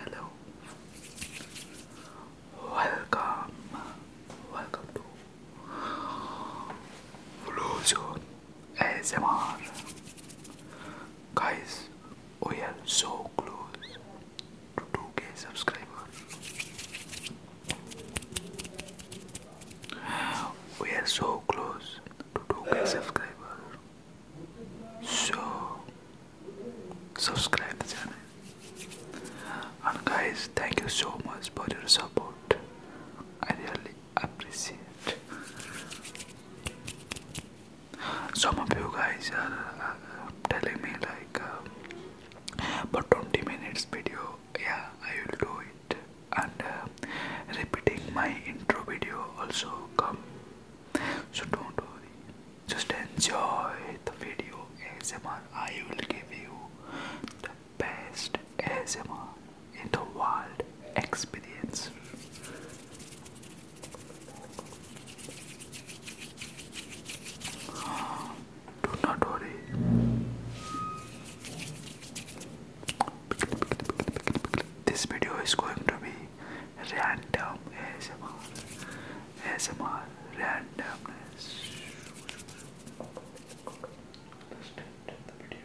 Hello. Welcome. Welcome to Blue Zone ASMR. Guys, we oh are so close to 2k subscribers. We are so close to 2k subscribers. So subscribe the channel. And guys, thank you so much for your support. I really appreciate. Some of you guys are uh, uh, telling me like, uh, 20 minutes video, yeah, I will do it. And uh, repeating my intro video also come. So don't worry, just enjoy the video ASMR. I will give you the best ASMR in the world experience. Do not worry. This video is going to be random ASMR. randomness. let the video.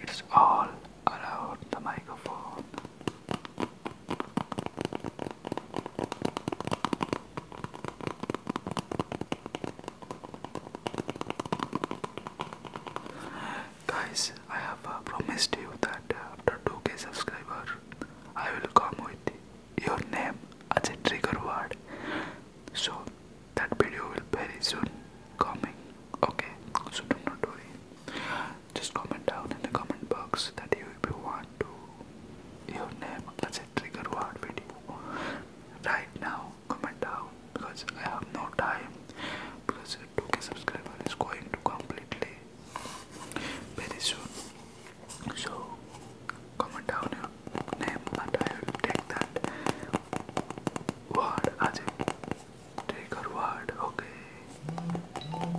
It's all around the microphone. Guys, I have uh, promised you that uh, after 2k subscribers, I will come with your name as a trigger word so that video will very soon coming okay so do not worry just comment down in the comment box that you if you want to your name as a trigger word video right now comment down because I have no time because 2k subscriber is going to completely very soon so comment down your name and I will take that word as a word, okay? Pickle, pickle, pickle.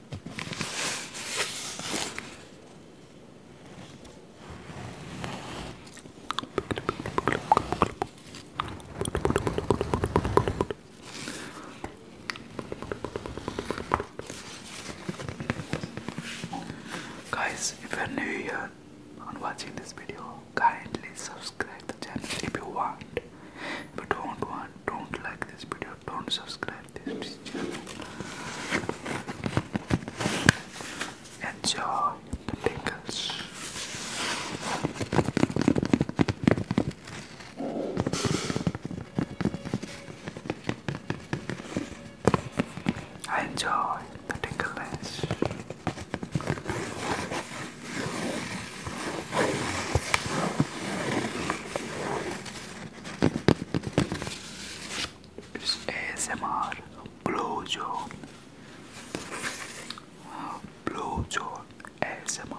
Guys, if you're new here and watching this video, kindly subscribe the channel if you want. If you don't want, don't like this video, don't subscribe to this channel. Enjoy the pickles. I enjoy the tickles. It's ASMR blue Blowjob ASMR.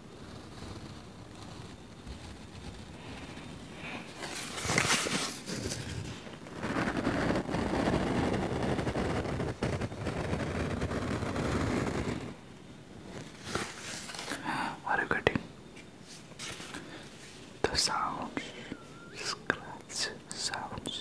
Are you getting the sounds? Scratch sounds.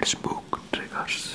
It's book triggers.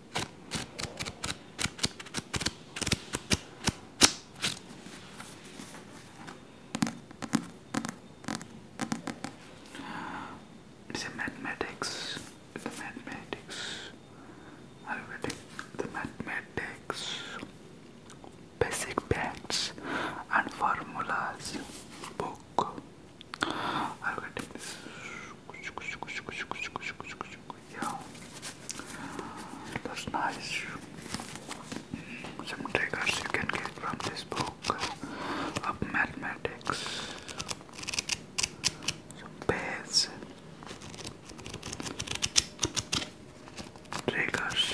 It's mathematics. The mathematics. Arithmetic. The mathematics. Basic facts and formulas book. I gotta take this. Yeah, that's nice. Some triggers you can get from this book of mathematics. Some triggers.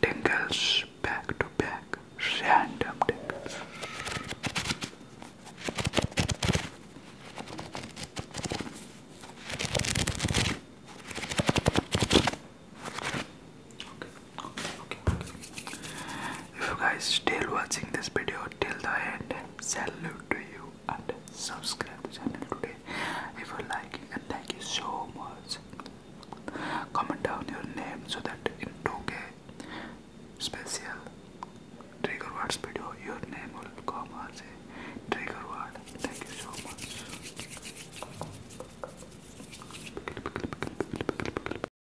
Tingles back to back, random tingles. If you guys still watching this video till the end, salute to you and subscribe the channel today if you like and thank you so much. Comment down your name so that in 2K special trigger words video your name will come as a trigger word. Thank you so much.